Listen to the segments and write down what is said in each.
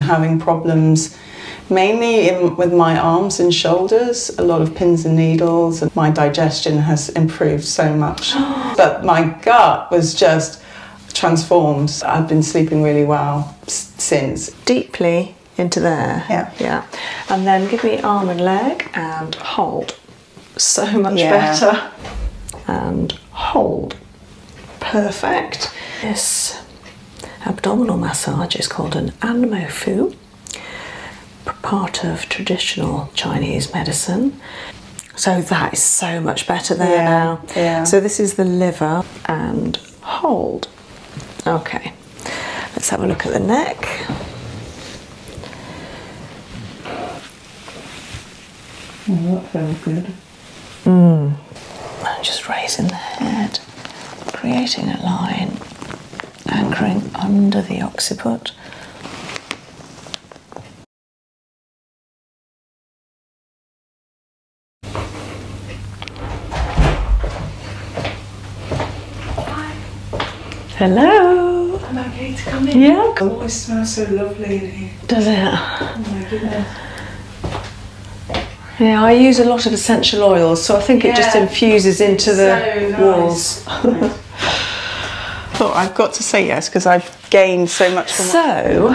having problems mainly with my arms and shoulders, a lot of pins and needles, and my digestion has improved so much. but my gut was just transformed. I've been sleeping really well since. Deeply into there. Yeah. Yeah. And then give me arm and leg and hold. So much better. And hold. Perfect. This abdominal massage is called an anmo fu, part of traditional Chinese medicine. So that is so much better there now. Yeah. So this is the liver and hold. Okay. Let's have a look at the neck. Oh, that sounds good. Mm. just raising the head, creating a line, anchoring under the occiput. Hi. Hello. Am I okay to come in? Yeah. It always smells so lovely in here. Does it? Oh my goodness. Yeah, I use a lot of essential oils, so I think it just infuses into the so nice. walls. oh, I've got to say yes because I've gained so much. so,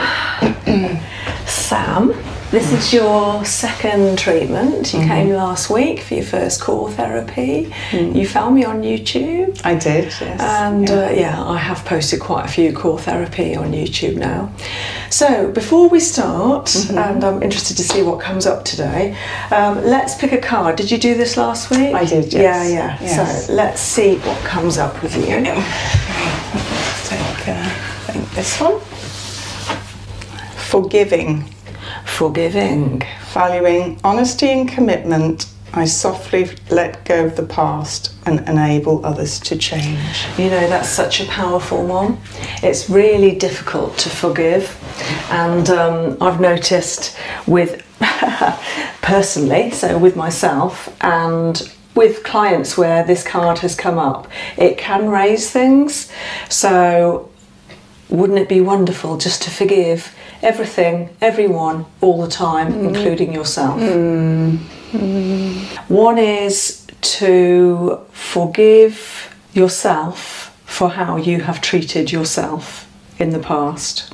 Sam, this is your second treatment. You came mm-hmm. last week for your first core therapy. Mm. You found me on YouTube. I did, And yeah. Uh, yeah. I have posted quite a few core therapy on YouTube now. So before we start, mm-hmm. and I'm interested to see what comes up today, um, let's pick a card. Did you do this last week? I did, Yeah, yeah. So let's see what comes up with you. Okay. I think this one. Forgiving. Forgiving. Mm. Valuing honesty and commitment I softly let go of the past and enable others to change. You know, that's such a powerful one. It's really difficult to forgive, and um, I've noticed with personally, so with myself and with clients where this card has come up, it can raise things. So, wouldn't it be wonderful just to forgive everything, everyone, all the time, mm-hmm. including yourself? Mm-hmm. One is to forgive yourself for how you have treated yourself in the past.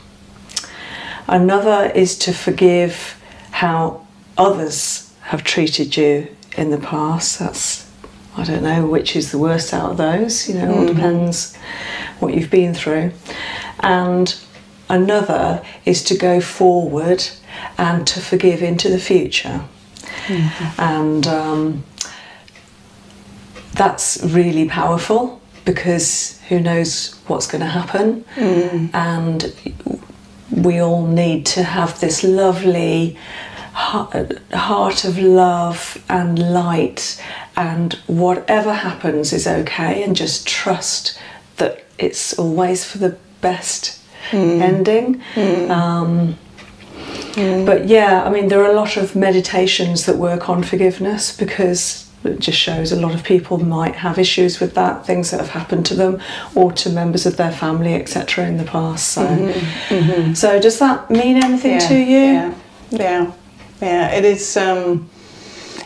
Another is to forgive how others have treated you in the past. That's, I don't know which is the worst out of those, you know, mm depends what you've been through. And another is to go forward and to forgive into the future. Mm-hmm. And um, that's really powerful because who knows what's going to happen. Mm. And we all need to have this lovely heart of love and light, and whatever happens is okay, and just trust that it's always for the best hmm. ending. Hmm. Um, hmm. But yeah, I mean, there are a lot of meditations that work on forgiveness because it just shows a lot of people might have issues with that, things that have happened to them or to members of their family, etc., in the past. Mm-hmm. Mm-hmm. So, does that mean anything to you? Yeah, yeah, It is. Um,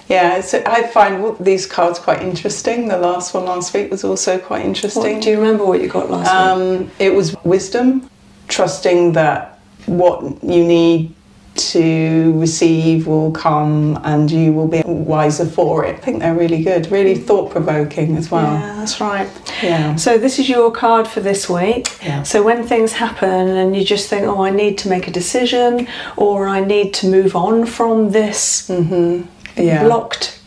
yeah, I find these cards quite interesting the last one last week was also quite interesting. do you remember what you got last week? Um, it was wisdom, trusting that what you need to receive will come and you will be wiser for it. I think they're really good, really mm. thought provoking as well. Yeah, that's right. Yeah. So this is your card for this week. Yeah. So when things happen and you just think, oh, I need to make a decision or I need to move on from this -hmm blocked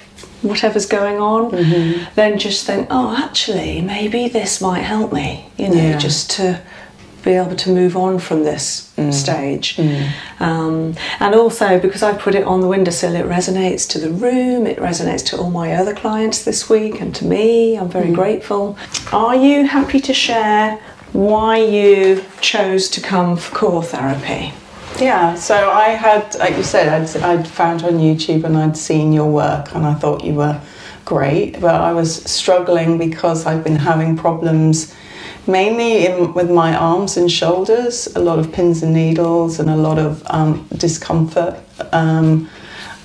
whatever's going on, mm-hmm. then just think, oh, actually, maybe this might help me, you know, just to be able to move on from this mm. stage. Mm. Um, and also, because I put it on the windowsill, it resonates to the room, it resonates to all my other clients this week and to me. I'm very mm. grateful. Are you happy to share why you chose to come for core therapy? Yeah, so I had, like you said, I'd, found on YouTube and I'd seen your work and I thought you were great, but I was struggling because I've been having problems mainly with my arms and shoulders, a lot of pins and needles and a lot of um, discomfort. Um,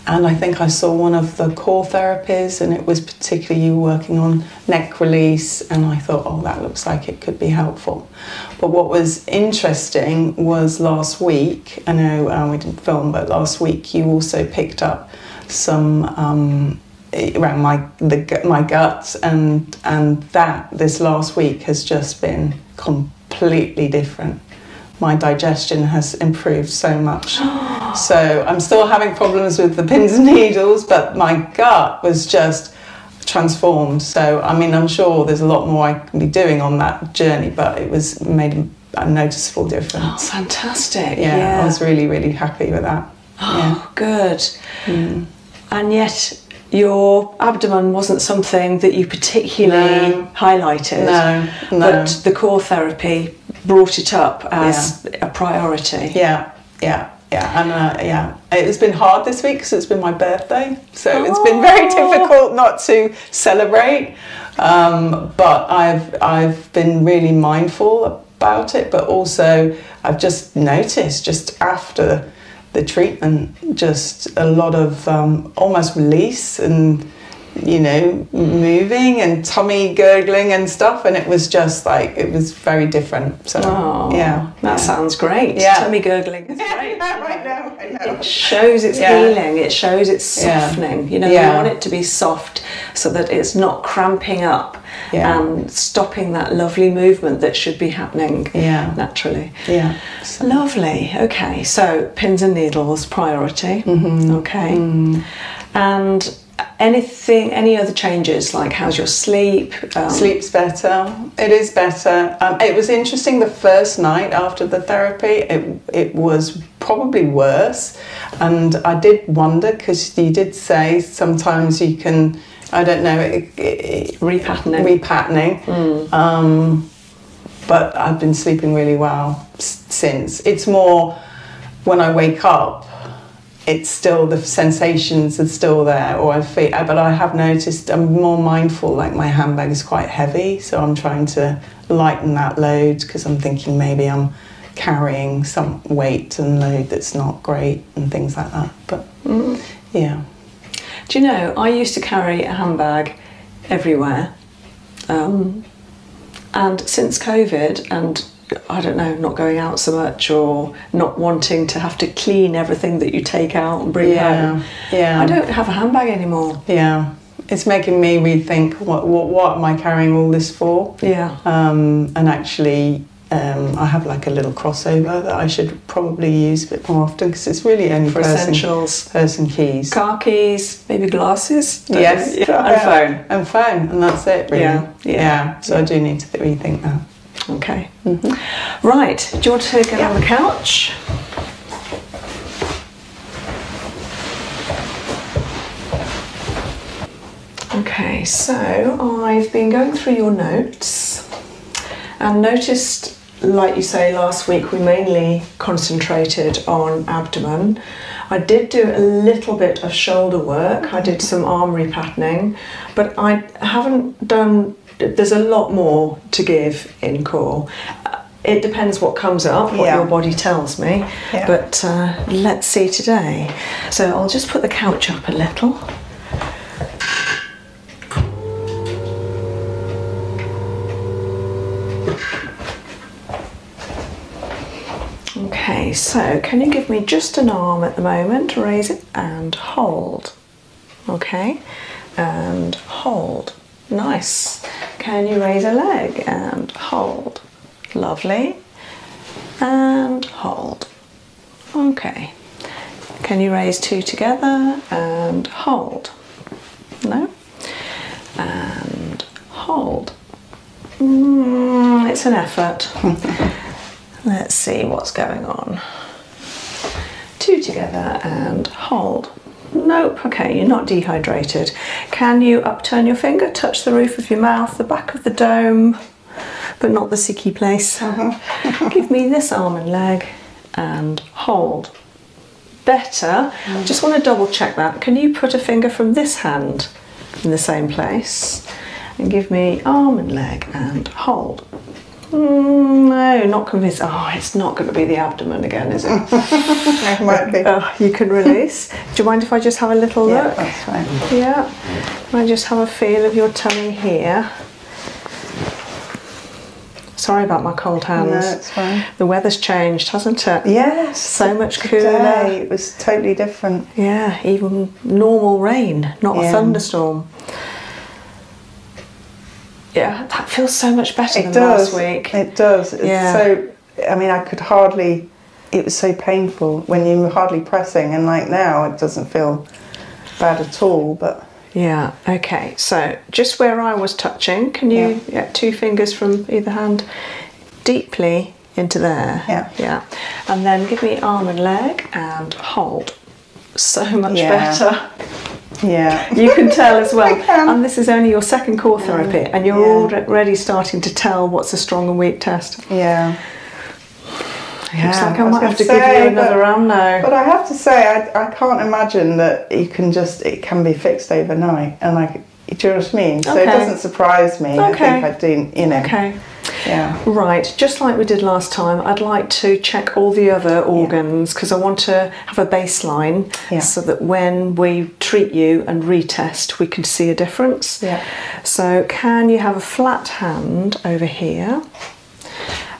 and I think I saw one of the core therapies, and it was particularly you working on neck release. And I thought, oh, that looks like it could be helpful. But what was interesting was last week, I know um, we didn't film, but last week you also picked up some. Um, around my the my guts and and that this last week has just been completely different my digestion has improved so much. so I'm still having problems with the pins and needles, but my gut was just transformed. So, I mean, I'm sure there's a lot more I can be doing on that journey, but it was made a noticeable difference. Oh, fantastic. Yeah, I was really, really happy with that. Oh, good. Mm. And yet, your abdomen wasn't something that you particularly highlighted. No, But the core therapy brought it up as a priority. Yeah, yeah. Yeah, and uh, yeah, it's been hard this week because it's been my birthday. So it's been very oh. difficult not to celebrate. Um, but I've, I've been really mindful about it. But also, I've just noticed just after the treatment, just a lot of um, almost release and you know, moving and tummy gurgling and stuff. And it was just like, it was very different. So, oh, yeah. That sounds great. Yeah. Tummy gurgling is great. right now it shows it's healing it shows it's softening you know yeah. you want it to be soft so that it's not cramping up and stopping that lovely movement that should be happening naturally yeah lovely okay so pins and needles priority mm-hmm. okay mm. and anything any other changes like how's your sleep um, sleep's better it is better. Um, it was interesting the first night after the therapy. It it was probably worse, and I did wonder because you did say sometimes you can. I don't know. It, it, repatterning. Repatterning. Hmm. Um, but I've been sleeping really well since. It's more when I wake up, it's still the sensations are still there, or I feel. But I have noticed I'm more mindful mindful, like my handbag is quite heavy, so I'm trying to lighten that load because I'm thinking maybe I'm carrying some weight and load that's not great and things like that. But mm. yeah. Do you know, I used to carry a handbag everywhere. Um, mm. and since COVID and I don't know, not going out so much or not wanting to have to clean everything that you take out and bring home. Yeah, I don't have a handbag anymore. Yeah. It's making me rethink what, what, am I carrying all this for? Yeah. Um, and actually, um, I have like a little crossover that I should probably use a bit more often because it's really only for essentials. Person keys, car keys, maybe glasses. Yes, yeah. and phone, and phone, and that's it. Yeah, yeah. So I do need to rethink that. Okay. Mm-hmm. Right. Do you want to get yeah. on the couch? Okay, so I've been going through your notes and noticed, like you say, last week we mainly concentrated on abdomen. I did do a little bit of shoulder work, I did some arm repatterning, but I haven't done there's a lot more to give in core. It depends what comes up, what your body tells me. But uh, let's see today. So I'll just put the couch up a little. Okay, so can you give me just an arm at the moment? Raise it and hold. Okay, and hold. Nice. Can you raise a leg and hold? Lovely. And hold. Okay. Can you raise two together and hold? No. And hold. Mm, it's an effort. Let's see what's going on two together and hold. Nope, okay, you're not dehydrated. Can you upturn your finger, touch the roof of your mouth, the back of the dome, but not the sicky place? Uh-huh. Give me this arm and leg and hold. Better. Mm. Just want to double check that. Can you put a finger from this hand in the same place and give me arm and leg and hold? Mm, no, not convinced. Oh, it's not going to be the abdomen again, is it? Uh, you can release. Do you mind if I just have a little look? Yeah. Can I just have a feel of your tummy here? Sorry about my cold hands. The weather's changed, hasn't it? Yes. So much cooler. it was totally different. Yeah, even normal rain, not a thunderstorm yeah, that feels so much better it does. It does. yeah. so I mean, I could hardly. It was so painful when you were hardly pressing, and like now, it doesn't feel bad at all. But yeah, okay. So just where I was touching, can you? Yeah, two fingers from either hand, deeply into there. Yeah, yeah, and then give me arm and leg and hold. So much better. Yeah, you can tell as well. and this is only your second core therapy, and you're already starting to tell what's a strong and weak test. Yeah. Yeah, I, might have to say, give you another round now. But I have to say, I, can't imagine that you can just, it can be fixed overnight. And like, do you know what I mean? So it doesn't surprise me. Okay. I think I do, you know. Okay. Yeah. Right, just like we did last time, I'd like to check all the other organs because I want to have a baseline so that when we treat you and retest, we can see a difference. So, can you have a flat hand over here?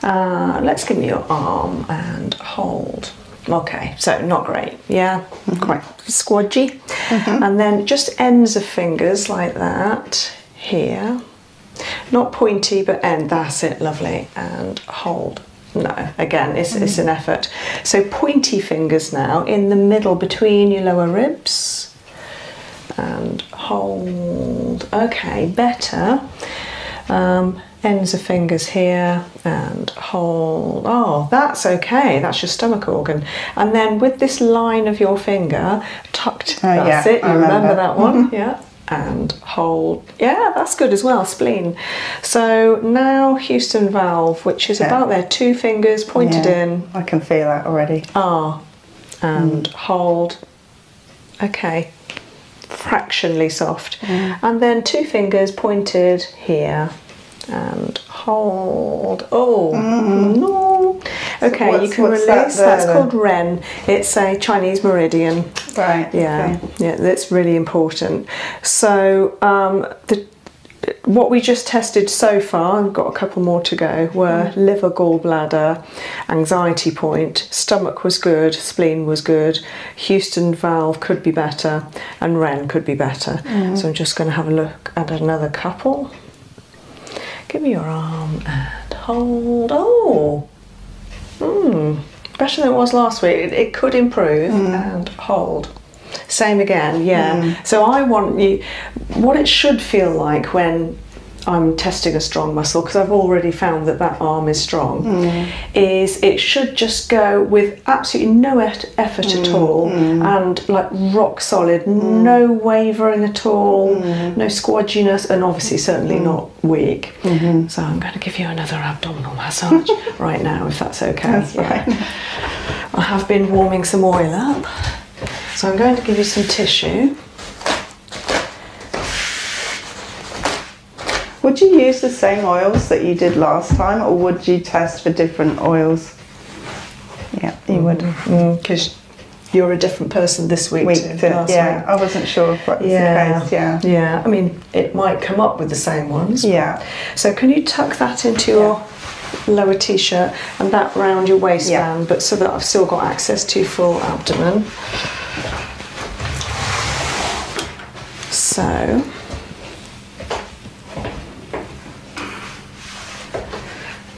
Uh, let's give me your arm and hold. Okay, so not great, yeah, mm-hmm. quite squodgy. Mm-hmm. And then just ends of fingers like that here. Not pointy, but end. That's it, lovely. And hold. No, again, it's, an mm. effort. So pointy fingers now in the middle between your lower ribs and hold. Okay, better. Um, ends of fingers here and hold. Oh, that's okay. That's your stomach organ. And then with this line of your finger tucked, uh, that's yeah, it, you remember. remember. that one? Mm-hmm. yeah. And hold yeah, that's good as well, spleen. So now Houston valve, which is about there, two fingers pointed in. I can feel that already. Ah, and mm. hold. Okay, fractionally soft. And then two fingers pointed here and hold. Oh, mm-hmm. Okay, you can release. That's called Ren. It's a Chinese meridian. Right. Yeah. Yeah, that's really important. So um, the what we just tested so far, I've got a couple more to go, were mm. liver, gallbladder, anxiety point, stomach was good, spleen was good, Houston valve could be better, and REN could be better. Mm. So I'm just going to have a look at another couple. Give me your arm and hold. Oh! Mm better than it was last week. It, could improve mm. and hold. Same again, yeah. Mm. So I want you, what it should feel like when I'm testing a strong muscle because I've already found that that arm is strong. Mm. Is it should just go with absolutely no effort at all and like rock solid, no wavering at all, no squadginess, and obviously certainly not weak. Mm-hmm. So I'm going to give you another abdominal massage right now, if that's okay. That's yeah. I have been warming some oil up, so I'm going to give you some tissue. Would you use the same oils that you did last time, or would you test for different oils? Yeah, you would. Because mm-hmm. mm, you're a different person this week, to, last week. I wasn't sure yeah, Yeah, yeah. I mean, it might come up with the same ones. Yeah. So can you tuck that into your lower t-shirt and that round your waistband, but so that I've still got access to full abdomen. So.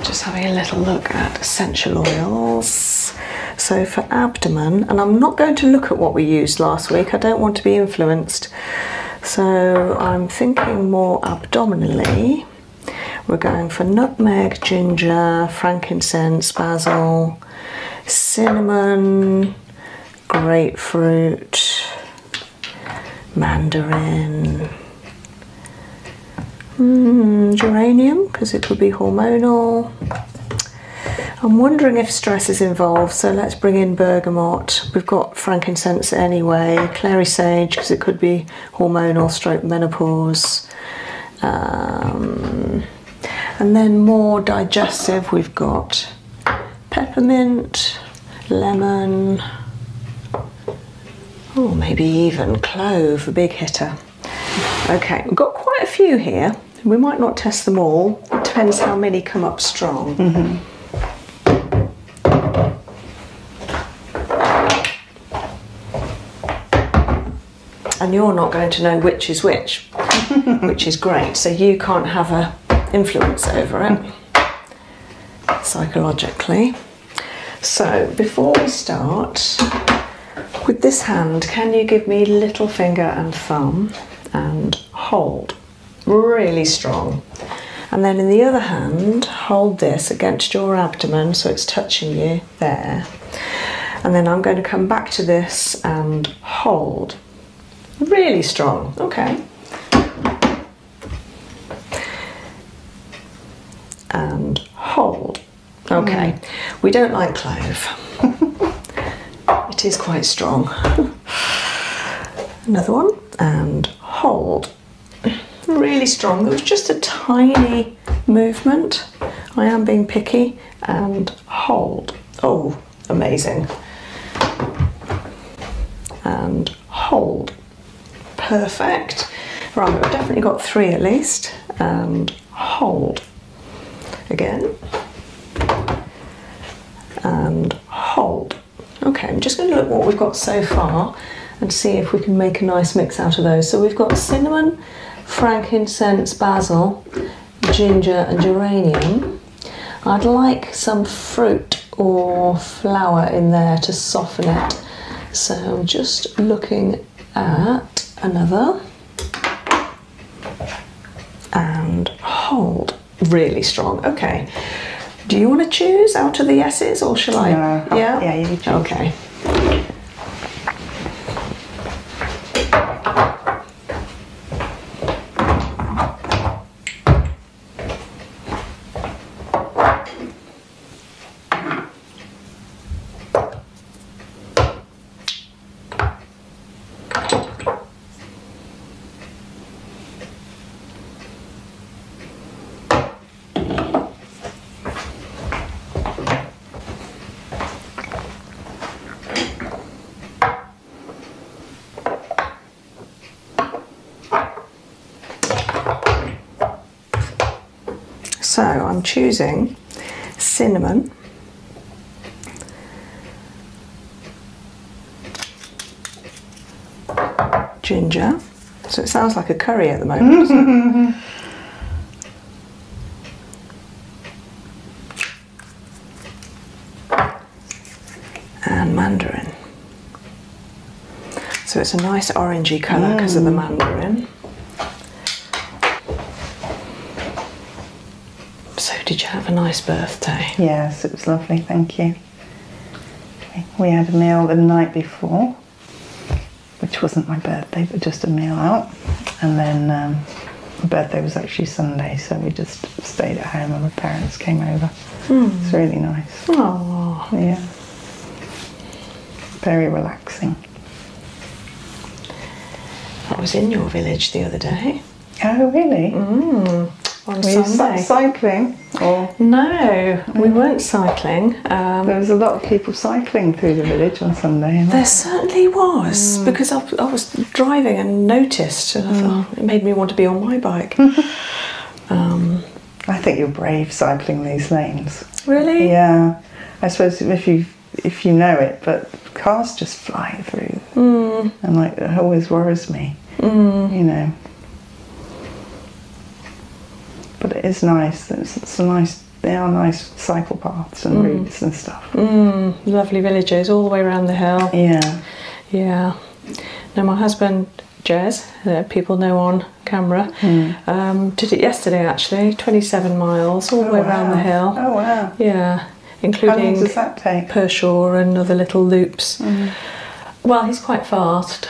Just having a little look at essential oils. So for abdomen, and I'm not going to look at what we used last week, I don't want to be influenced so I'm thinking more abdominally. We're going for nutmeg, ginger, frankincense, basil, cinnamon, grapefruit, mandarin, hmm, geranium because it could be hormonal, I'm wondering if stress is involved, so let's bring in bergamot. We've got frankincense anyway, clary sage, because it could be hormonal stroke menopause. Um, and then more digestive, we've got peppermint, lemon, or oh, maybe even clove, a big hitter. Okay, we've got quite a few here. We might not test them all. It depends how many come up strong. Mm-hmm. And you're not going to know which is which, which is great. So you can't have a influence over it psychologically. So before we start, with this hand, can you give me little finger and thumb and hold? really strong. And then in the other hand, hold this against your abdomen so it's touching you there. And then I'm going to come back to this and hold. Really strong, okay. And hold. Okay, mm. we don't like clove. it is quite strong. Another one and hold. Really strong. It was just a tiny movement. I am being picky and hold. Oh, amazing. And hold. Perfect. Right, we've definitely got three at least. And hold. Again. And hold. Okay, I'm just going to look what we've got so far and see if we can make a nice mix out of those. So we've got cinnamon, frankincense, basil, ginger and geranium. I'd like some fruit or flower in there to soften it. So I'm just looking at another and hold. Really strong. Okay. Do you want to choose out of the yeses or shall I? Oh, yeah. yeah, Okay. So I'm choosing cinnamon ginger. So it sounds like a curry at the moment, doesn't it? and mandarin. So it's a nice orangey colour because of the mm. mandarin. So, did you have a nice birthday? Yes, it was lovely, thank you. We had a meal the night before, which wasn't my birthday, but just a meal out. And then um, my birthday was actually Sunday, so we just stayed at home and the parents came over. Hmm. It's really nice. Oh, yeah. Very relaxing. I was in your village the other day. Oh, really? Mm. On Were Sunday. cycling? No, we mm. weren't cycling. Um, there was a lot of people cycling through the village on Sunday. There certainly was, mm. because I, was driving and noticed, mm. it made me want to be on my bike. Um, I think you're brave cycling these lanes. Really? Yeah. I suppose if you if you know it, but cars just fly through, and like it always worries me. Mm. You know. But it is nice. It's, a nice. They are nice cycle paths and mm. routes and stuff. Mm. Lovely villages all the way around the hill. Yeah. Yeah. Now my husband Jez, that people know on camera, mm. um, did it yesterday actually, 27 miles all the way oh, around the hill. Oh wow! Yeah, including Pershore and other little loops. Mm. Well, he's quite fast,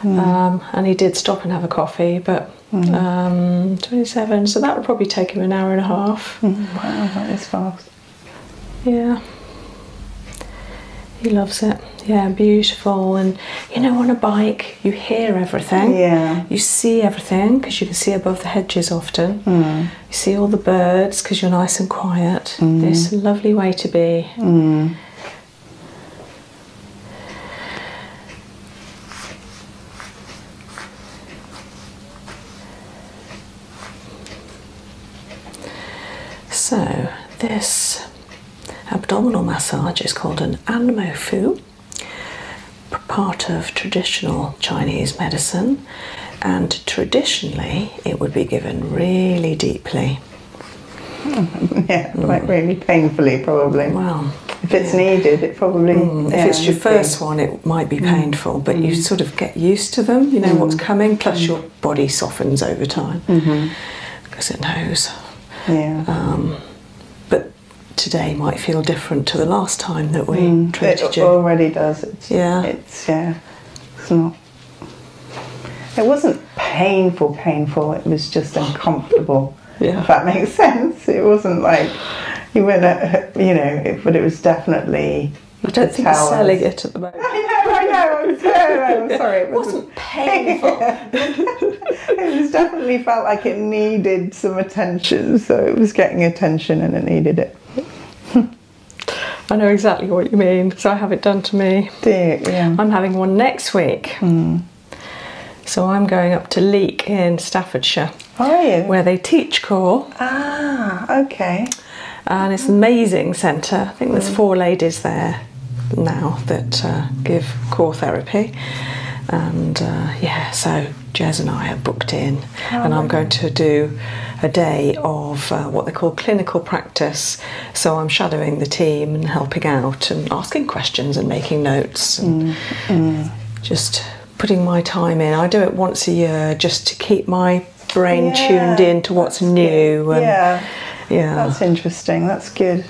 mm. um, and he did stop and have a coffee, but mm. um, 27, so that would probably take him an hour and a half. Wow, that is fast. Yeah. He loves it. Yeah, beautiful. And you know, on a bike, you hear everything. Yeah. You see everything because you can see above the hedges often you see all the birds because you're nice and quiet. Mm. This lovely way to be. Mm. So, this abdominal massage is called an fu. part of traditional Chinese medicine and traditionally it would be given really deeply. yeah, like really painfully, probably. Well, if it's needed, it probably. Mm, if it's your first one, it might be mm. painful, but you mm. sort of get used to them. You know what's coming. Plus, your body softens over time mm-hmm. because it knows. Yeah. Um, but today might feel different to the last time that we treated it you. It already does. yeah. It's yeah. It's not it wasn't painful, painful. It was just uncomfortable. yeah. If that makes sense. It wasn't like you went, you know, but it was definitely. I don't think towers. selling it at the moment. I know, I know. I'm sorry. I'm sorry. It, wasn't, painful. it was definitely felt like it needed some attention, so it was getting attention and it needed it. I know exactly what you mean So I have it done to me. I'm having one next week. Hmm. So I'm going up to Leek in Staffordshire. Are you? Where they teach core. Ah, okay. And it's an amazing centre. I think there's hmm. four ladies there now that uh, give core therapy. And uh, yeah, so Jez and I are booked in, oh, and I'm going to do a day of uh, what they call clinical practice so I'm shadowing the team and helping out and asking questions and making notes and mm, mm. just putting my time in. I do it once a year just to keep my brain tuned in to what's new. yeah. Yeah. That's interesting. That's good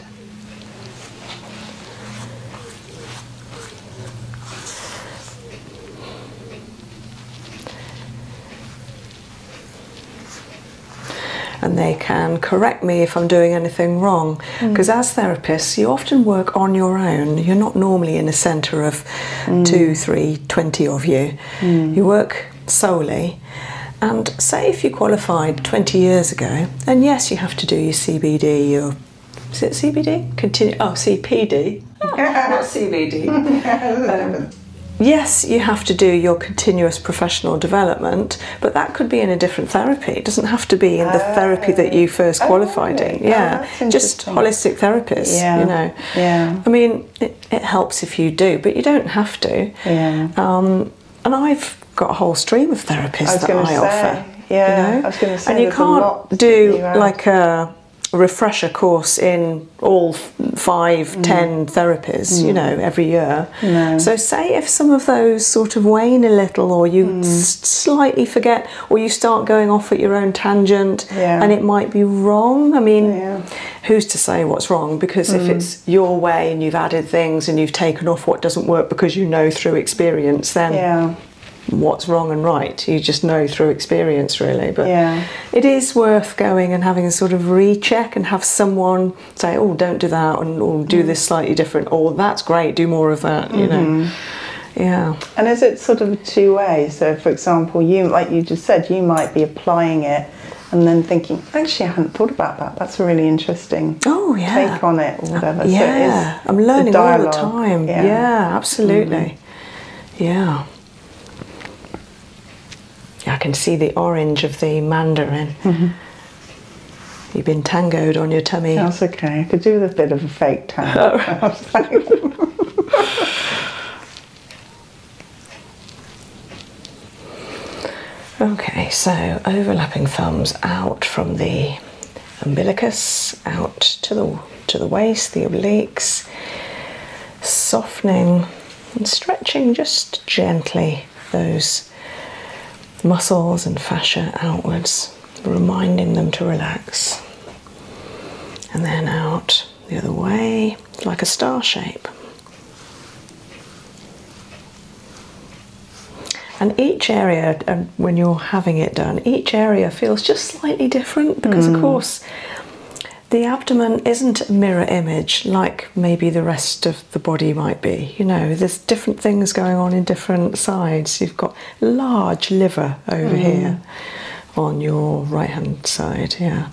and they can correct me if I'm doing anything wrong. Because mm. as therapists, you often work on your own. You're not normally in a centre of mm. two, three, twenty of you. Mm. You work solely. And say if you qualified 20 years ago, and yes, you have to do your CBD, your is it CBD? Continue. Oh, CPD. Oh, not CBD. Um, yes, you have to do your continuous professional development, but that could be in a different therapy. It doesn't have to be in the therapy that you first oh, qualified in. Yeah, oh, just holistic therapists. Yeah. you know. Yeah. I mean, it, helps if you do, but you don't have to. Yeah. Um, and I've got a whole stream of therapists that I offer. Yeah, And you can't do like a refresher course in all five, mm. ten therapies, you mm. know, every year. So say if some of those sort of wane a little, or you mm. slightly forget, or you start going off at your own tangent, and it might be wrong. I mean, who's to say what's wrong? Because if it's your way and you've added things and you've taken off what doesn't work because you know through experience, then. what's wrong and right. You just know through experience, really. But it is worth going and having a sort of recheck and have someone say, oh, don't do that, and oh, do mm. this slightly different, or that's great, do more of that, you know. Mm-hmm. Yeah. And is it sort of two way? So, for example, you, like you just said, you might be applying it and then thinking, actually, I hadn't thought about that. That's a really interesting oh, yeah. take on it or uh, whatever. Uh, yeah. I'm learning all the time. Yeah, absolutely. Mm-hmm. Yeah. I can see the orange of the mandarin. Mm-hmm. You've been tangoed on your tummy. That's okay. I could do a bit of a fake tango. okay, so overlapping thumbs out from the umbilicus, out to the to the waist, the obliques, softening and stretching just gently those muscles and fascia outwards, reminding them to relax. And then out the other way, like a star shape. And each area, uh, when you're having it done, each area feels just slightly different because, of mm. course, the abdomen isn't a mirror image like maybe the rest of the body might be. You know, there's different things going on in different sides. You've got large liver over mm. here on your right hand side, yeah.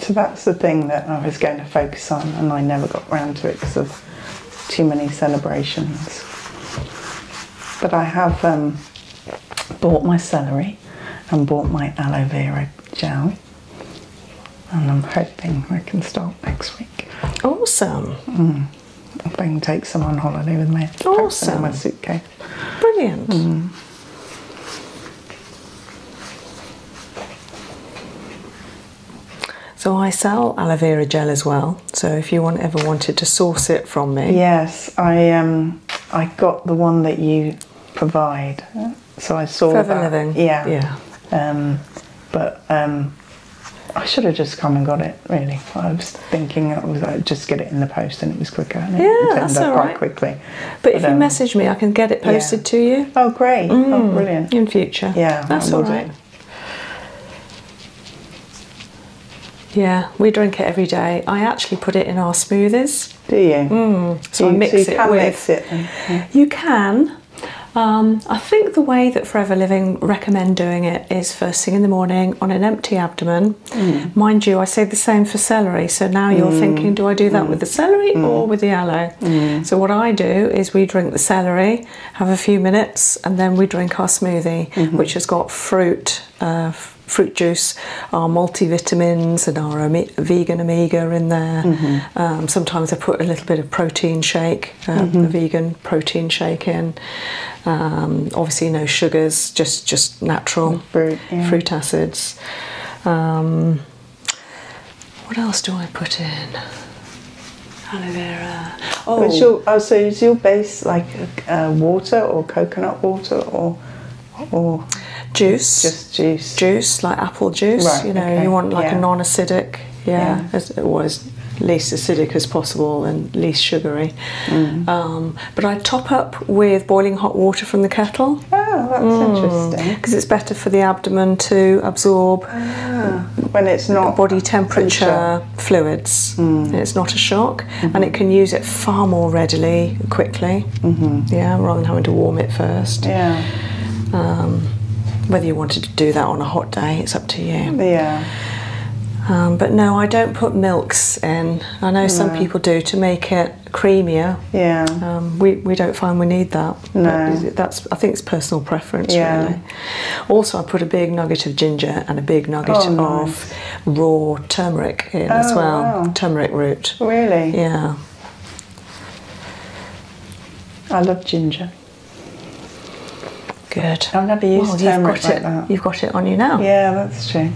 So that's the thing that I was going to focus on, and I never got round to it because of too many celebrations. But I have um, bought my celery and bought my aloe vera gel. And I'm hoping I can start next week. Awesome. Mm. If I can take some on holiday with me. Awesome. In my suitcase. Brilliant. Mm. So I sell aloe vera gel as well. So if you ever wanted to source it from me, yes, I um, I got the one that you provide. So I saw that. Yeah. Yeah. Um, but um, I should have just come and got it. Really, I was thinking I was like, just get it in the post, and it was quicker. And yeah, it that's all right. Quite quickly. But, if you um, message me, I can get it posted to you. Oh, great! Oh, mm. brilliant. In future. Yeah, that's all right. Yeah, we drink it every day. I actually put it in our smoothies do you? Mm. So you, mix it can with. You can. Um, I think the way that Forever Living recommend doing it is first thing in the morning on an empty abdomen. Mm. Mind you, I say the same for celery. So now you're mm. thinking, do I do that with the celery or with the aloe? So what I do is we drink the celery, have a few minutes, and then we drink our smoothie, mm-hmm. which has got fruit, uh, fruit juice, our multivitamins, and our vegan omega in there. Mm-hmm. Um, sometimes I put a little bit of protein shake, um, mm-hmm. vegan protein shake in. Um, obviously, no sugars, just just natural fruit, fruit acids. what else do I put in? Aloe vera. Oh. oh, so is your base like uh, water or coconut water or? or juice just juice juice like apple juice you know you want like a non-acidic yeah, As, or as least acidic as possible and least sugary mm. um, but i top up with boiling hot water from the kettle oh that's mm. interesting because it's better for the abdomen to absorb ah, when it's not body temperature, fluids mm. it's not a shock and mm-hmm. it can use it far more readily, quickly. Mm-hmm. Yeah, rather than having to warm it first. Yeah. Um, whether you wanted to do that on a hot day, it's up to you. Yeah. Um, but no, I don't put milks in. I know some people do to make it creamier. Yeah. Um, we, we don't find we need that. No. that's I think it's personal preference really. Also, I put a big nugget of ginger and a big nugget oh, of raw turmeric in as oh, well. Turmeric root. Really? Yeah. I love ginger. Good. I've never used turmeric like it. that. You've got it on you now. Yeah, that's true.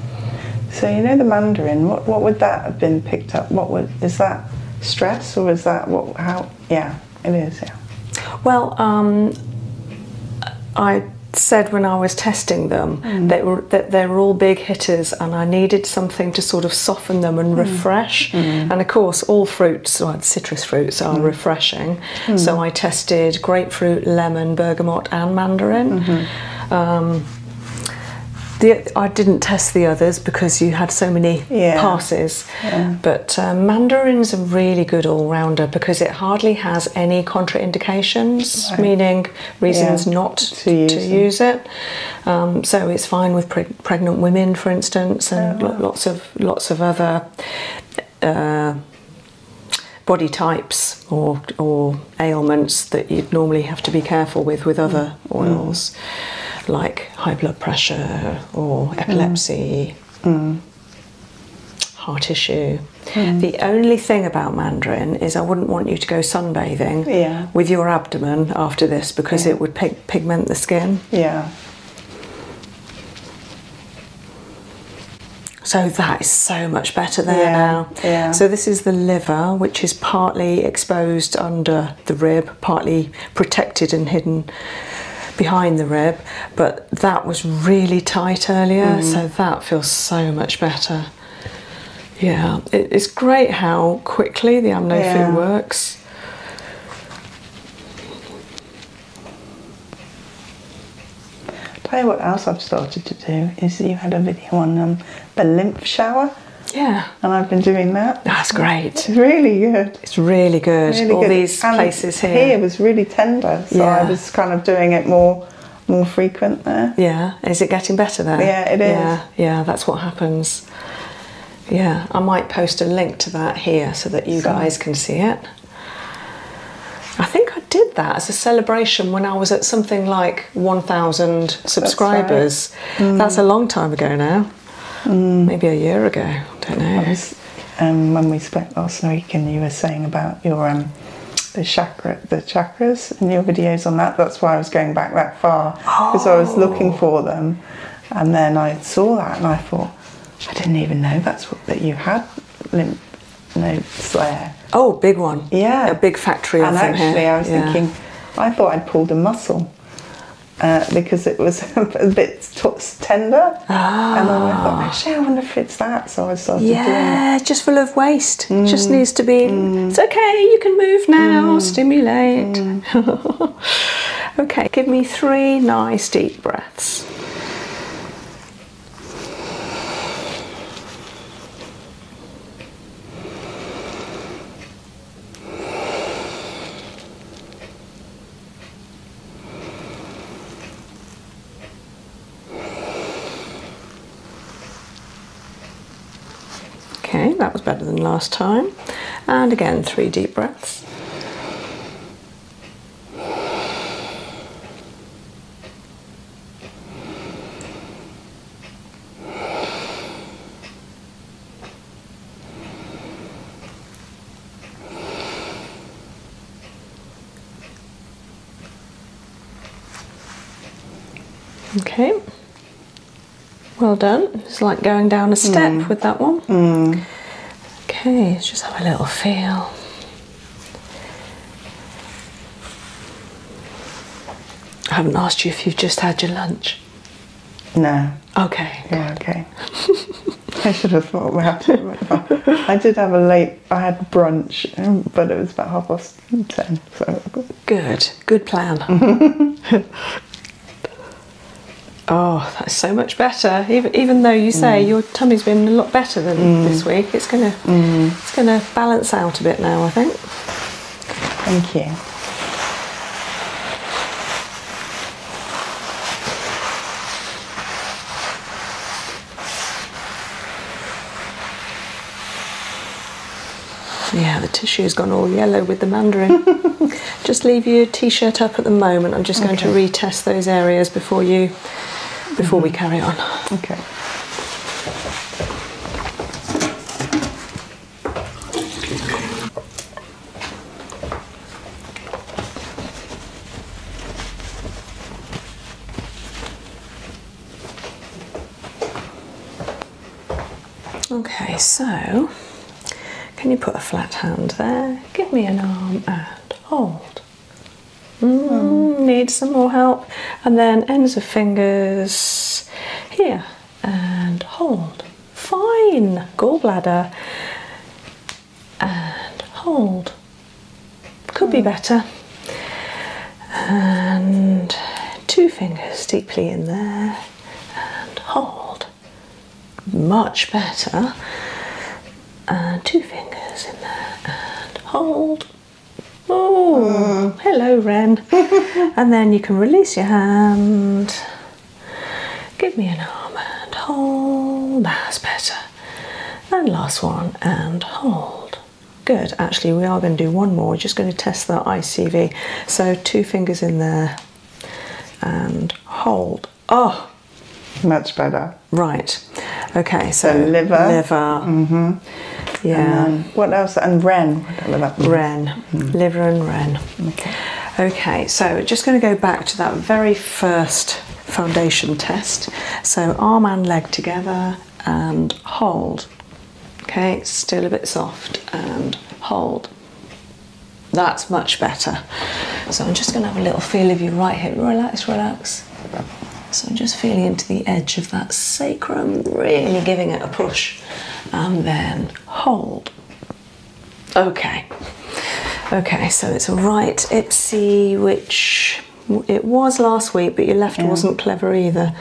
So you know the mandarin. What would that have been picked up? What is that stress or is that what? How? Yeah, it is. Yeah. Well, um, I said when I was testing them mm. they were that they were all big hitters, and I needed something to sort of soften them and hmm. refresh. Hmm. And of course, all fruits, well, citrus fruits, are hmm. refreshing. So I tested grapefruit, lemon, bergamot, and mandarin. Mm-hmm. Um, I didn't test the others because you had so many passes. But uh, mandarin's a really good all rounder because it hardly has any contraindications, meaning reasons not to, use, it. Um, so it's fine with pregnant women, for instance, and oh, lots of lots of other uh, body types or ailments that you'd normally have to be careful with with other mm. Mm. oils, like high blood pressure or mm. epilepsy. heart issue. The only thing about mandarin is I wouldn't want you to go sunbathing yeah with your abdomen after this because it would pigment the skin. Yeah. So that is so much better there now. Yeah. So this is the liver, which is partly exposed under the rib, partly protected and hidden behind the rib. But that was really tight earlier, mm. so that feels so much better yeah, it's great how quickly the amno yeah. works. Tell you what else I've started to do is you had a video on um, the lymph shower. Yeah. And I've been doing that. Ah, that's great. really good. It's really good. Really All these places here. was really tender, so I was kind of doing it more more frequent there. Yeah. Is it getting better there? Yeah, it is. Yeah, yeah that's what happens yeah i might post a link to that here so that you guys can see it i think i did that as a celebration when i was at something like 1000 subscribers that's, mm. a long time ago now mm. maybe a year ago don't know I um, when we spoke last week and you were saying about your um, the chakra the chakras and your videos on that that's why i was going back that far because I was looking oh. for them. And then I saw that and I thought, I didn't even know that's what, that you had lymph nodes Oh, big one. Yeah. A big factory. And actually, I was thinking, I thought I'd pulled a muscle. Uh, because it was a bit tender. And then I thought, ah. actually, I wonder if it's that. So I started yeah, just full of waste. Just mm. needs to be. It's mm. okay. You can move now. Mm. Stimulate. okay, give me three nice deep breaths. Okay, that was better than last time. And again, three deep breaths. Okay, well done. It's like going down a step mm. with that one. Mm. Okay, let's just have a little feel. I haven't asked you if you've just had your lunch. No. Okay. Yeah, okay. I should have thought about it. I did have a late, I had brunch, but it was about half past ten, so Good, good plan. oh, that's so much better. Even, even though you say mm. your tummy's been a lot better than mm. this week, it's gonna mm. it's gonna balance out a bit now. I think. Thank you. Yeah, the tissue's gone all yellow with the mandarin. just leave your t-shirt up at the moment. I'm just going to retest those areas before you before we mm-hmm. carry on. Okay. Okay, so can you put a flat hand there? Give me an arm and hold. Mm, Need some more help. And then ends of fingers here and hold. Fine. Gallbladder and hold. Could be hmm. better. And two fingers deeply in there and hold. Much better. Uh, two fingers in there and hold. Oh, hello, Ren. and then you can release your hand. Give me an arm and hold. That's better. And last one and hold. Good. Actually, we are going to do one more. We're just going to test that ICV. So two fingers in there and hold. Oh, much better. Right. Okay. So, liver. Liver. Mm-hmm. Yeah. what else? And ren. Ren. Mm. Liver and ren. Okay. Okay, so just going to go back to that very first foundation test. So arm and leg together and hold. Okay, still a bit soft and hold. That's much better. So I'm just going to have a little feel of your right hip. Relax, relax. So I'm just feeling into the edge of that sacrum, really giving it a push. And then hold. Okay. Okay, so it's right ipsy, which it was last week, but your left wasn't clever either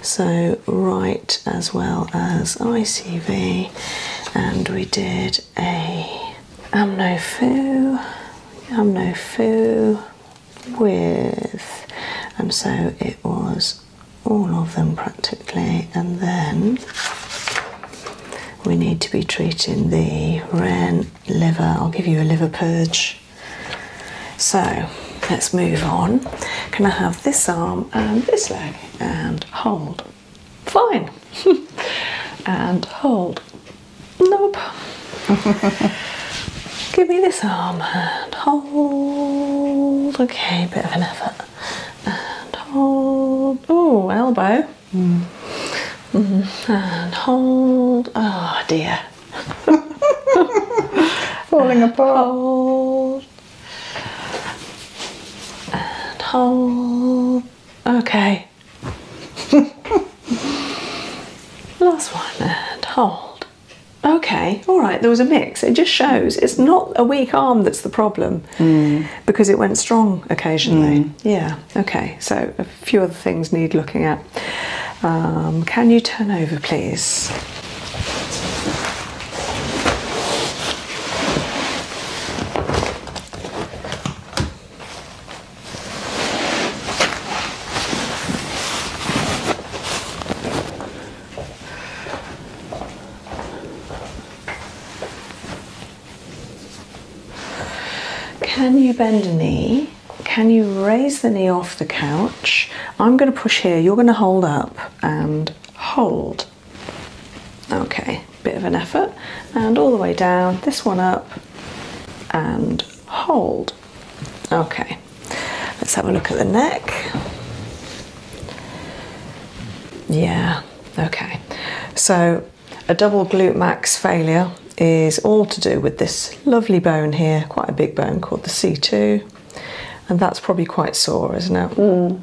so right as well as ICV, and we did a Amno Foo, with, and so it was all of them practically, and then we need to be treating the ren liver. I'll give you a liver purge. So let's move on. Can I have this arm and this leg? and hold. Fine. and hold. Nope. Give me this arm and hold. Okay, bit of an effort. And hold. Oh, elbow. Mm. Mm-hmm. And hold. Oh dear. Falling apart and hold. Okay. Last one and hold. Okay, all right, there was a mix. It just shows it's not a weak arm that's the problem mm. because it went strong occasionally. Mm. Yeah, okay, so a few other things need looking at. Um, can you turn over, please? Can you bend a knee? Can you raise the knee off the couch? I'm going to push here, you're going to hold up and hold. Okay, bit of an effort. And all the way down, this one up, and hold. Okay, let's have a look at the neck. Yeah, okay. So a double glute max failure is all to do with this lovely bone here, quite a big bone called the C2. And that's probably quite sore, isn't it? Mm.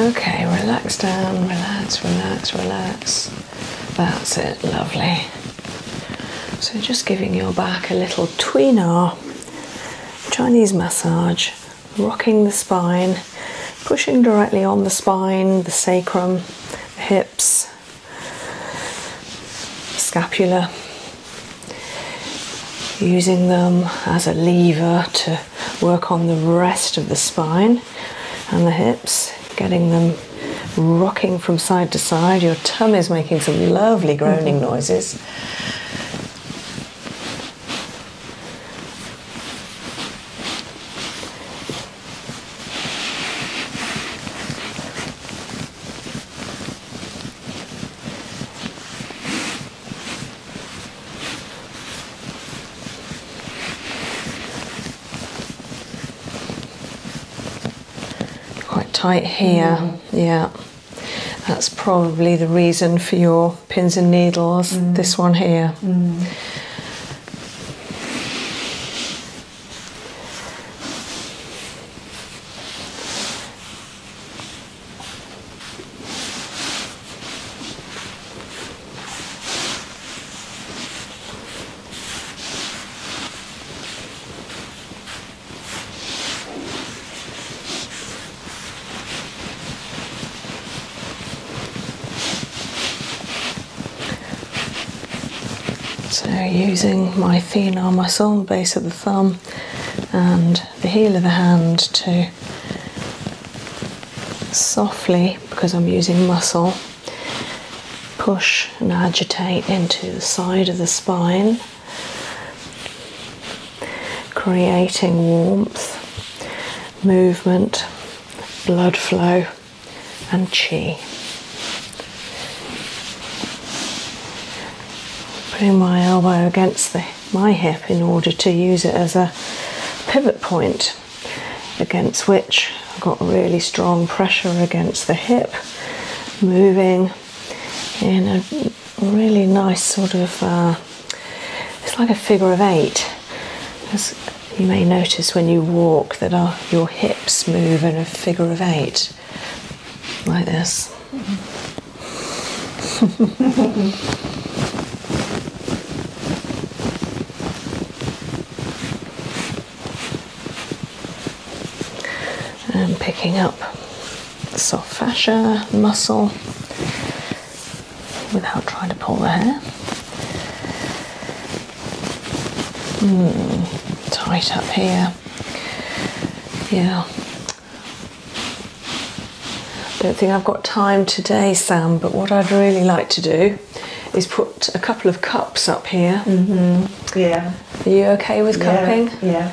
Okay, relax down, relax, relax, relax. That's it, lovely. So, just giving your back a little tweener Chinese massage, rocking the spine, pushing directly on the spine, the sacrum, the hips, scapula, using them as a lever to work on the rest of the spine and the hips, getting them rocking from side to side. Your tummy is making some lovely groaning mm-hmm. noises. Quite tight here, yeah. That's probably the reason for your pins and needles, mm. this one here. Mm. So using my feet on my sole base of the thumb and the heel of the hand, to softly, because I'm using muscle, push and agitate into the side of the spine, creating warmth, movement, blood flow, and chi. Putting my elbow against the my hip in order to use it as a pivot point against which I've got really strong pressure against the hip, moving in a really nice sort of uh, it's like a figure of eight. As you may notice when you walk that your hips move in a figure of eight, like this and picking up soft fascia muscle without trying to pull the hair. Hmm, tight up here. Yeah. Don't think I've got time today, Sam, but what I'd really like to do is put a couple of cups up here. Mm-hmm. Yeah. Are you okay with cupping? yeah.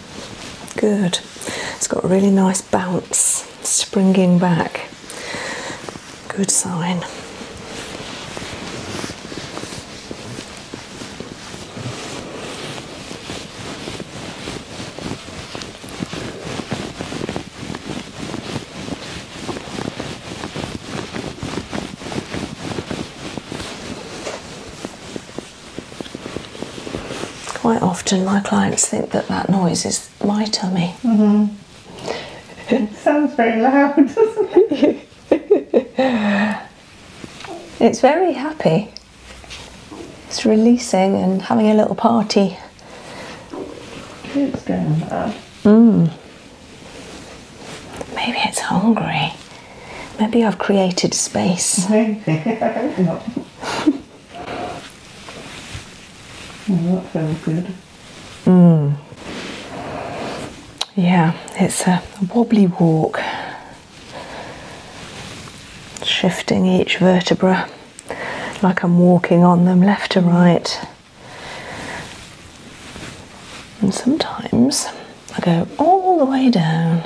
Good. It's got a really nice bounce, springing back. Good sign. Quite often, my clients think that that noise is my tummy. it mm-hmm. sounds very loud, doesn't it? it's very happy. It's releasing and having a little party. It's going on. Mmm. Maybe it's hungry. Maybe I've created space. I hope good. Mm. Yeah, it's a wobbly walk, shifting each vertebra like I'm walking on them left to right. And sometimes I go all the way down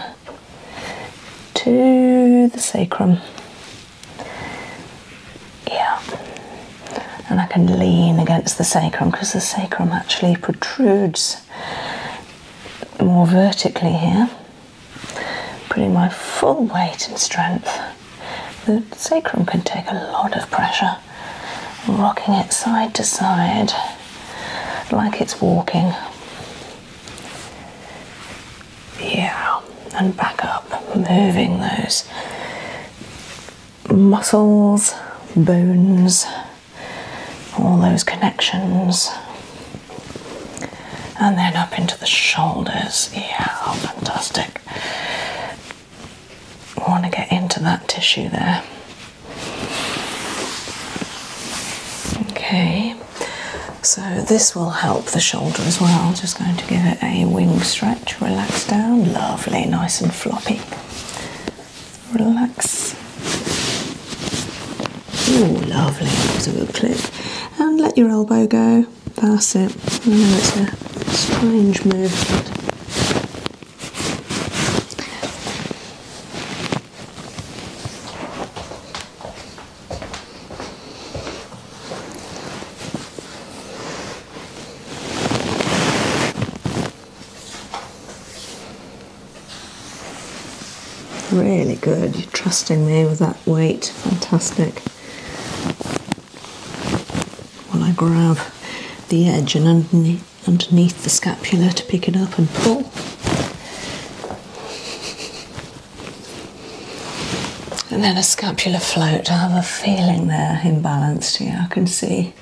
to the sacrum. Yeah, and I can lean against the sacrum because the sacrum actually protrudes more vertically here. Putting my full weight and strength. The sacrum can take a lot of pressure, rocking it side to side like it's walking. Yeah, and back up, moving those muscles, bones, all those connections. And then up into the shoulders. Yeah, fantastic. Want to get into that tissue there. Okay so this will help the shoulder as well. Just going to give it a wing stretch, relax down, lovely, nice and floppy. Relax. Oh, lovely, that was a good click. And let your elbow go. That's it. I know it's a strange move, Really good, you're trusting me with that weight, fantastic. While I grab the edge and underneath, underneath the scapula to pick it up and pull. And then a scapular float. I have a feeling they're imbalanced here. I can see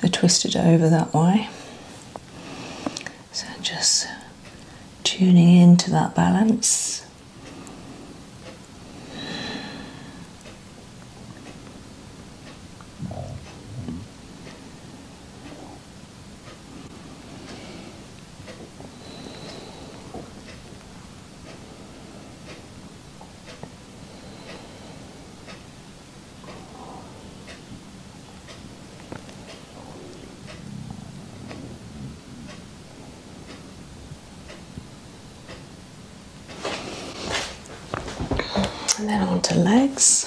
they're twisted over that way. So just tuning into that balance. And then on to legs.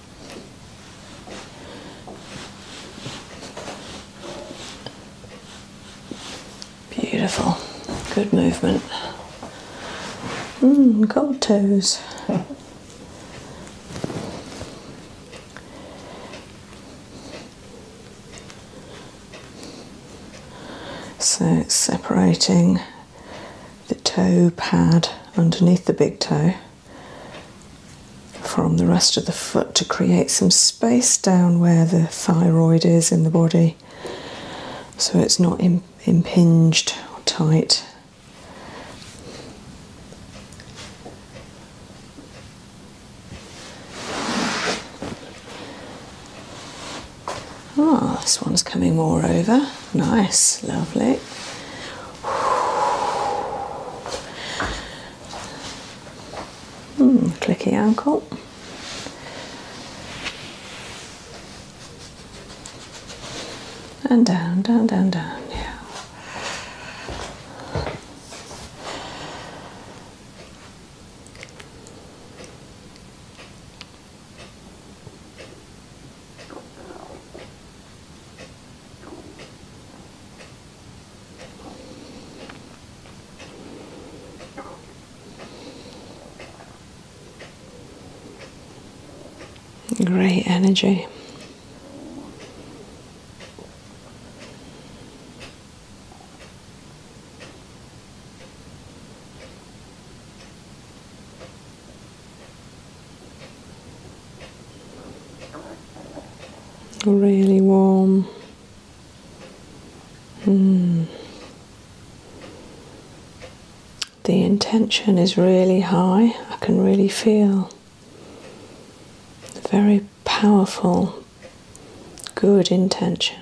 Beautiful, good movement. Mm, toes. so it's separating the toe pad underneath the big toe from the rest of the foot to create some space down where the thyroid is in the body so it's not impinged or tight. Ah, this one's coming more over. Nice, lovely. Hmm, clicky ankle. And down, down, down, down, yeah. Great energy. Really warm. Hmm. The intention is really high. I can really feel a very powerful, good intention.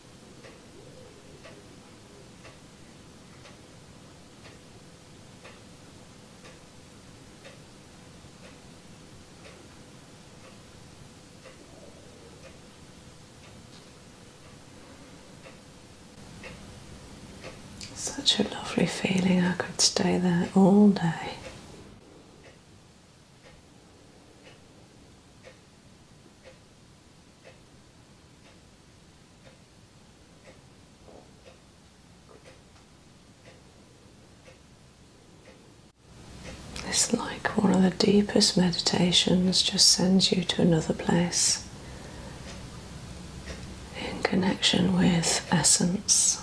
Such a lovely feeling, I could stay there all day. It's like one of the deepest meditations just sends you to another place in connection with essence.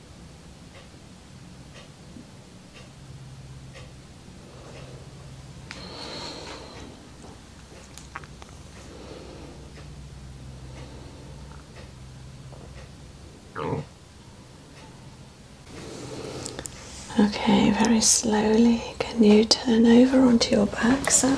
Okay, very slowly can you turn over onto your back, Sam?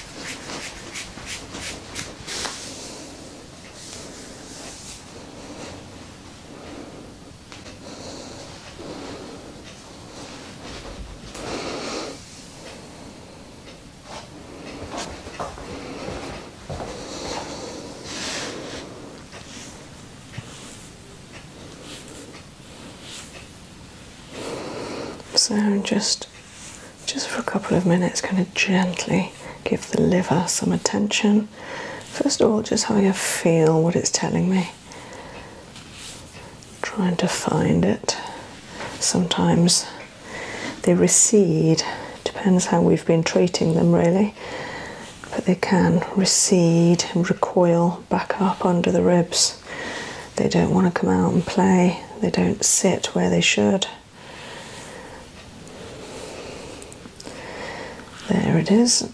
So, just just for a couple of minutes kind of gently give the liver some attention first of all just how you feel what it's telling me trying to find it sometimes they recede depends how we've been treating them really but they can recede and recoil back up under the ribs they don't want to come out and play, they don't sit where they should. There it is.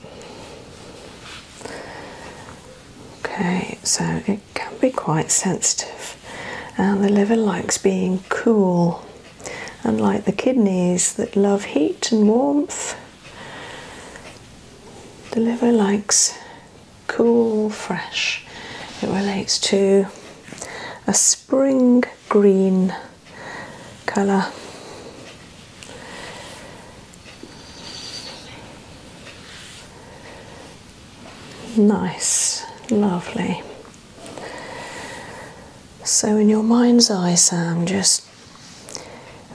Okay, so it can be quite sensitive, and the liver likes being cool, unlike the kidneys that love heat and warmth. The liver likes cool, fresh. It relates to a spring green colour. Nice, lovely. So, in your mind's eye, Sam, just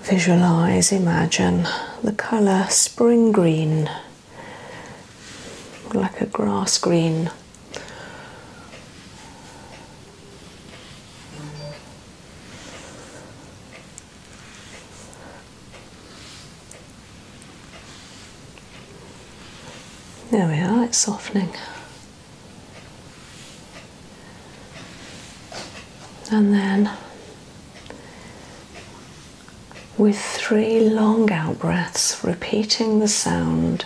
visualize, imagine the colour spring green like a grass green. There we are, it's softening. And then with three long out breaths, repeating the sound.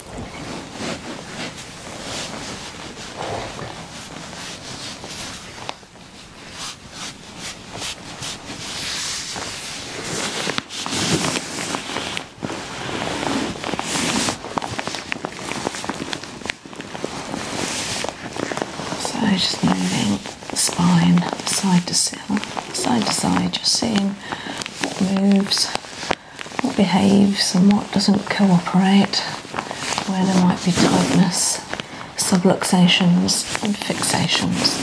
So just moving spine side to side, side to side, just seeing what moves what behaves and what doesn't cooperate, where there might be tightness, subluxations, and fixations.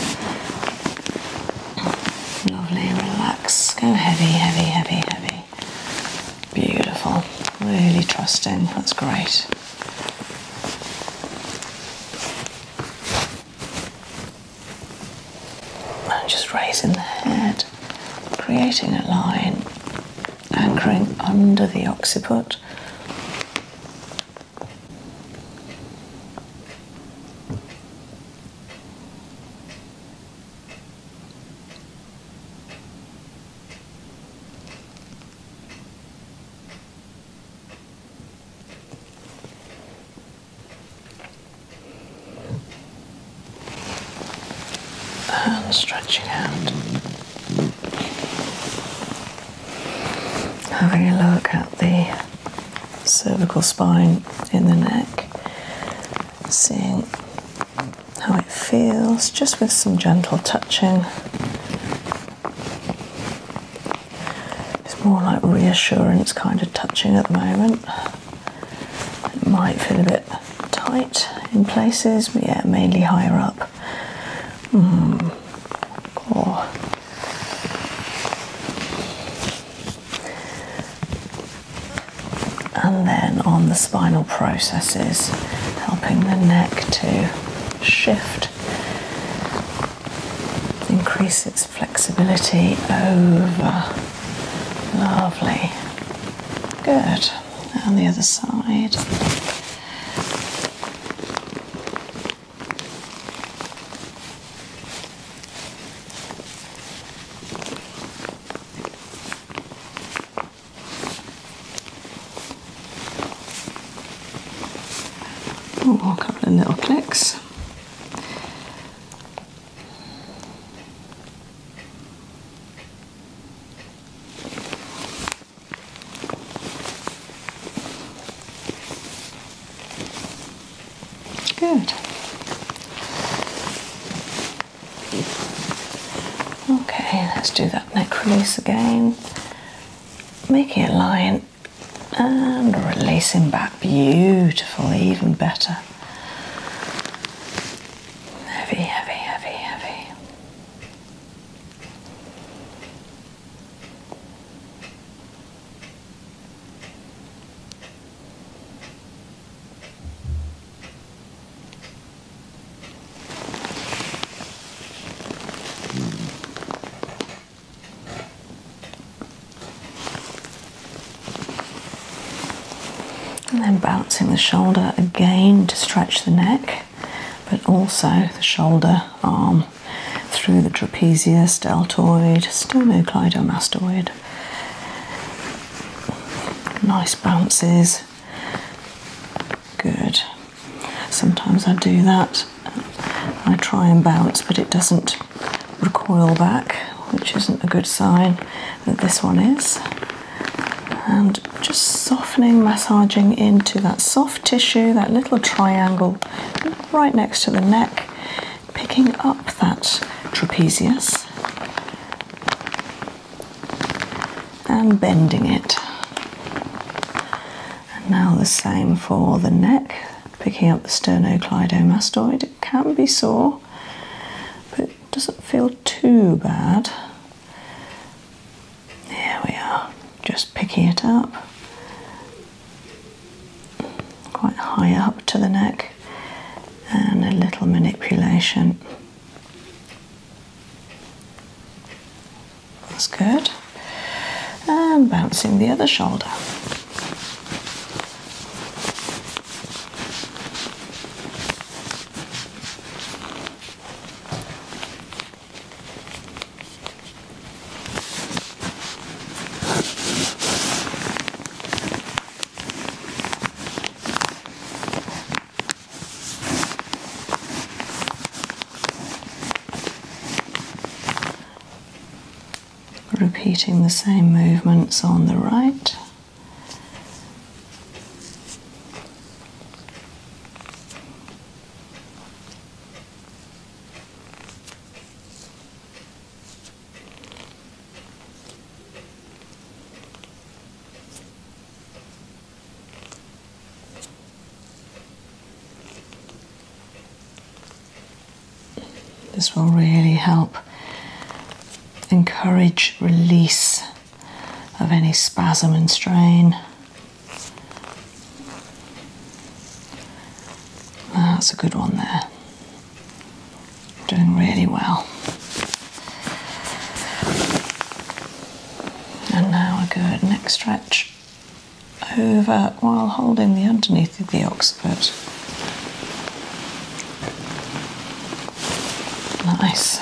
Lovely, relax. Go heavy, heavy, heavy, heavy. Beautiful. Really trusting. That's great just raising the head, creating a line, anchoring under the occiput and stretching out. Having a look at the cervical spine in the neck, seeing how it feels just with some gentle touching. It's more like reassurance kind of touching at the moment. It might feel a bit tight in places, but yeah, mainly higher up. Hmm. and then on the spinal processes, helping the neck to shift, increase its flexibility over Lovely. Good. On the other side. a couple of little clicks. Good. Okay, let's do that neck release again. Making a line and releasing back. Beautiful, even better. Heavy, heavy, heavy, heavy. And then bouncing the shoulder again to stretch the neck, but also the shoulder, arm through the trapezius, deltoid, sternocleidomastoid. Nice bounces. Good. Sometimes I do that. I try and bounce, but it doesn't recoil back which isn't a good sign that this one is. And just softening, massaging into that soft tissue, that little triangle right next to the neck, picking up that trapezius and bending it. And now the same for the neck, picking up the sternocleidomastoid. It can be sore, but it doesn't feel too bad. Here we are, just picking it up. Quite high up to the neck, and a little manipulation. That's good. And bouncing the other shoulder. Repeating the same movements on the right. This will really help encourage release of any spasm and strain. That's a good one there. Doing really well. And now a good next stretch over while holding the underneath of the occiput. Nice.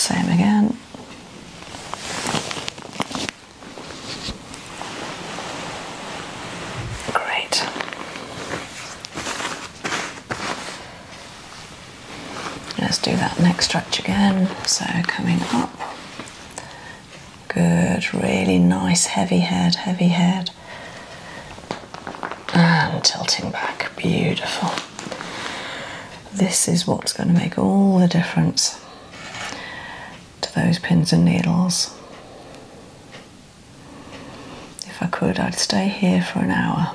Same again. Great. Let's do that next stretch again. So coming up. Good, really nice heavy head, heavy head and tilting back. Beautiful. This is what's going to make all the difference to those pins and needles. If I could, I'd stay here for an hour.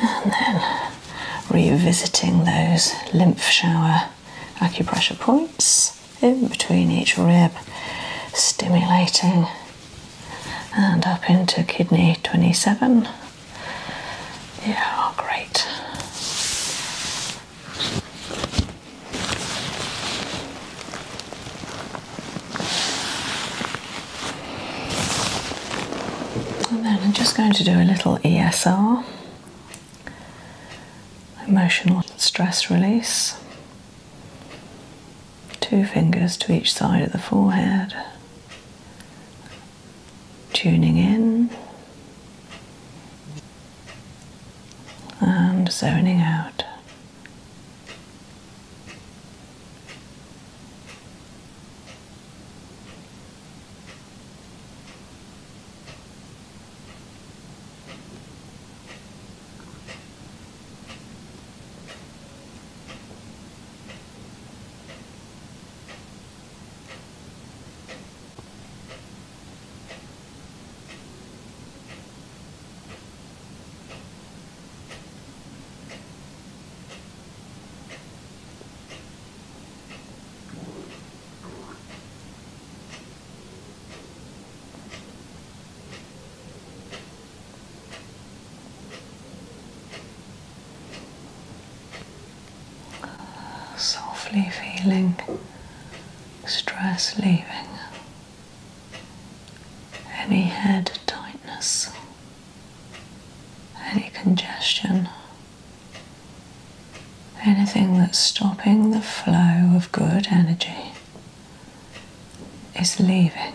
And then revisiting those lymph shower acupressure points in between each rib, stimulating and up into kidney 27. Yeah, great. And then I'm just going to do a little ESR, emotional stress release. Two fingers to each side of the forehead, tuning in and zoning out. Softly feeling stress leaving, any head tightness, any congestion, anything that's stopping the flow of good energy is leaving.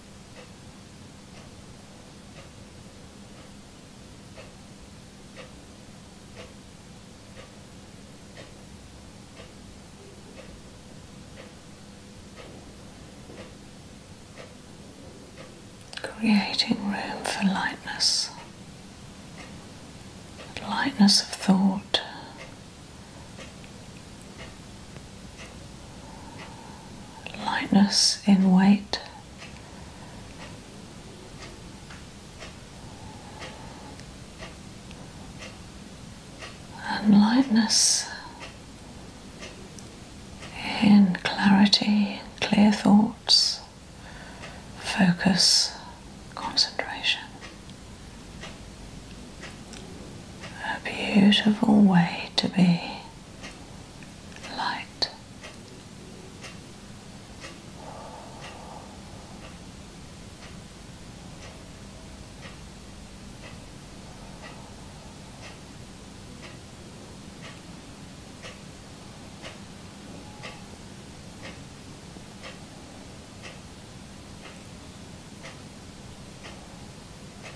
creating room for lightness, lightness of thought, lightness in weight. And lightness in clarity, clear thoughts, focus, concentration. A beautiful way to be light.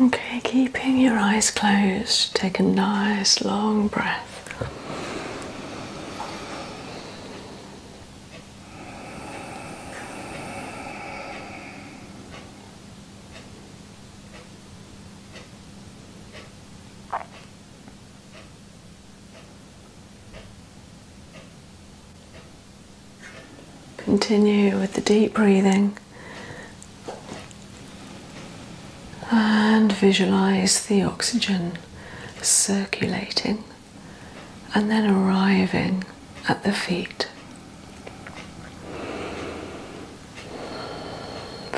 Okay, keeping your eyes closed, take a nice long breath. Continue with the deep breathing and visualize the oxygen circulating and then arriving at the feet.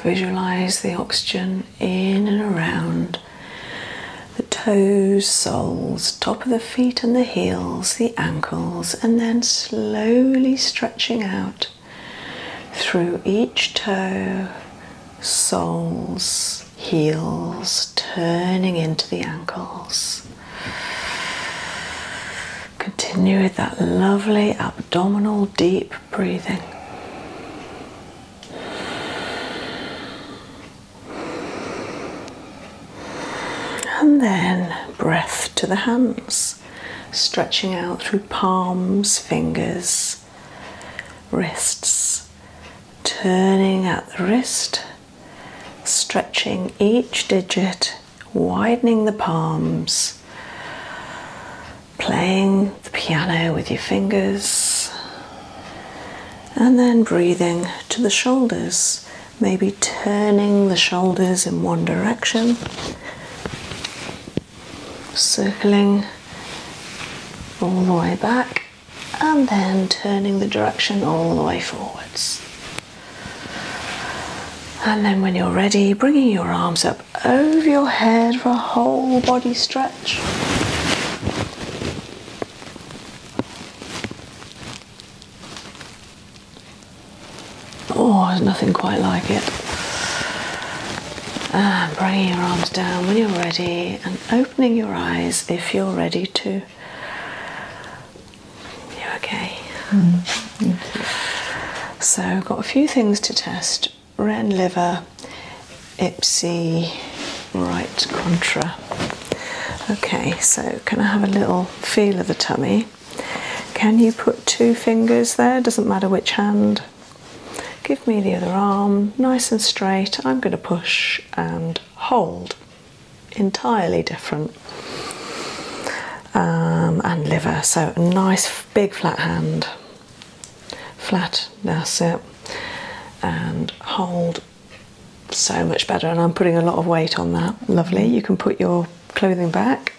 Visualize the oxygen in and around the toes, soles, top of the feet and the heels, the ankles, and then slowly stretching out through each toe, soles, heels, turning into the ankles. Continue with that lovely abdominal deep breathing. And then breath to the hands, stretching out through palms, fingers, wrists, turning at the wrist, stretching each digit, widening the palms, playing the piano with your fingers, and then breathing to the shoulders maybe turning the shoulders in one direction, circling all the way back, and then turning the direction all the way forwards. And then, when you're ready, bringing your arms up over your head for a whole body stretch. Oh, there's nothing quite like it. Ah, bringing your arms down when you're ready and opening your eyes if you're ready to. You're okay. Mm, you. So, got a few things to test ren liver, ipsy, right contra. Okay, so can I have a little feel of the tummy? Can you put two fingers there? Doesn't matter which hand. Give me the other arm, nice and straight. I'm going to push and hold. Entirely different. Um, and liver. So, nice big flat hand. Flat, that's it. And hold so much better. And I'm putting a lot of weight on that. Lovely. You can put your clothing back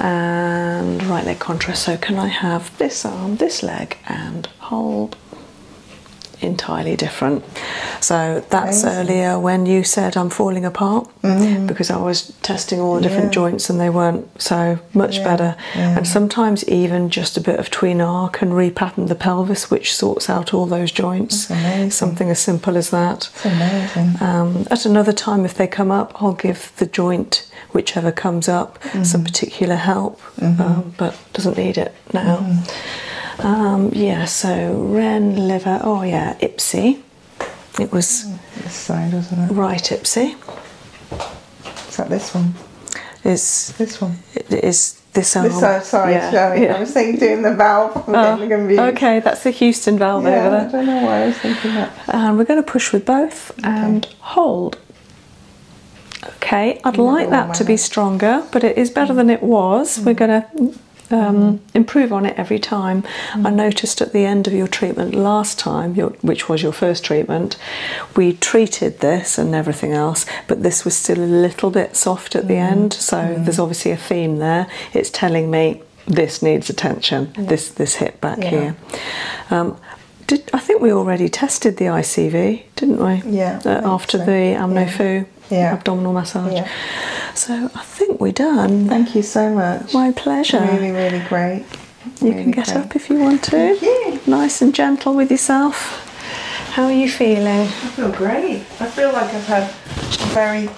and right leg contrast. So, can I have this arm, this leg, and hold? Entirely different. So, that's earlier when you said I'm falling apart mm. because I was testing all the different joints and they weren't so much better. And sometimes, even just a bit of tween arc can repattern the pelvis, which sorts out all those joints. Something as simple as that. Um, at another time, if they come up, I'll give the joint, whichever comes up, mm-hmm. some particular help, mm-hmm. um, but doesn't need it now. Mm-hmm. Um, yeah, so Ren, liver, oh yeah, Ipsy. It was mm, this side, was Right, Ipsy. Is that this one? Is this one. It is this arm. sorry, yeah. I was saying doing the valve. Oh, okay, that's a huge. And um, we're going to push with both and hold. Okay, I'd like that to be stronger, but it is better mm. than it was. We're mm. going to um, mm. improve on it every time. I noticed at the end of your treatment last time, which was your first treatment, we treated this and everything else, but this was still a little bit soft at the end. So there's obviously a theme there. It's telling me this needs attention. This this hip back here. Um, I think we already tested the ICV, didn't we? Yeah. Uh, after the AmnoFu yeah. abdominal massage. Yeah. So I think we're done. Thank you so much. My pleasure. Really, really great. You can get up if you want to. You. Nice and gentle with yourself. How are you feeling? I feel great. I feel like I've had very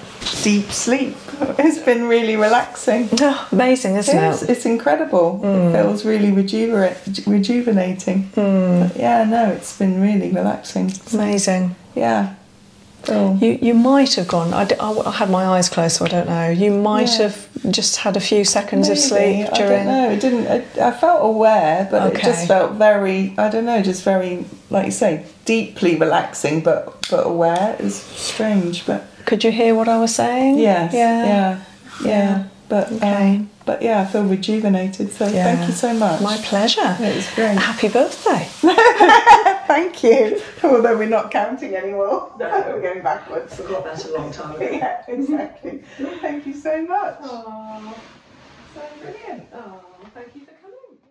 deep sleep. It's been really relaxing. Oh, amazing, isn't it? Is, it? It's incredible. It hmm. feels really rejuvenating. Hmm. Yeah, no, it's been really relaxing. Amazing. Yeah. You, you might have gone. I, had my eyes closed, so I don't know. You might have just had a few seconds of sleep during. I don't know. It didn't. I, felt aware, but it just felt very. I don't know. Just very, like you say, deeply relaxing but but aware. is strange, but could you hear what I was saying? Yeah. Yeah. Yeah. yeah. But um, okay. but yeah, I feel rejuvenated. So thank you so much. My pleasure. it was great. Happy birthday. thank you. Although we're not counting anymore. we're going backwards. Forgot that a long time ago. yeah, exactly. thank you so much. So brilliant. Aww, thank you for coming.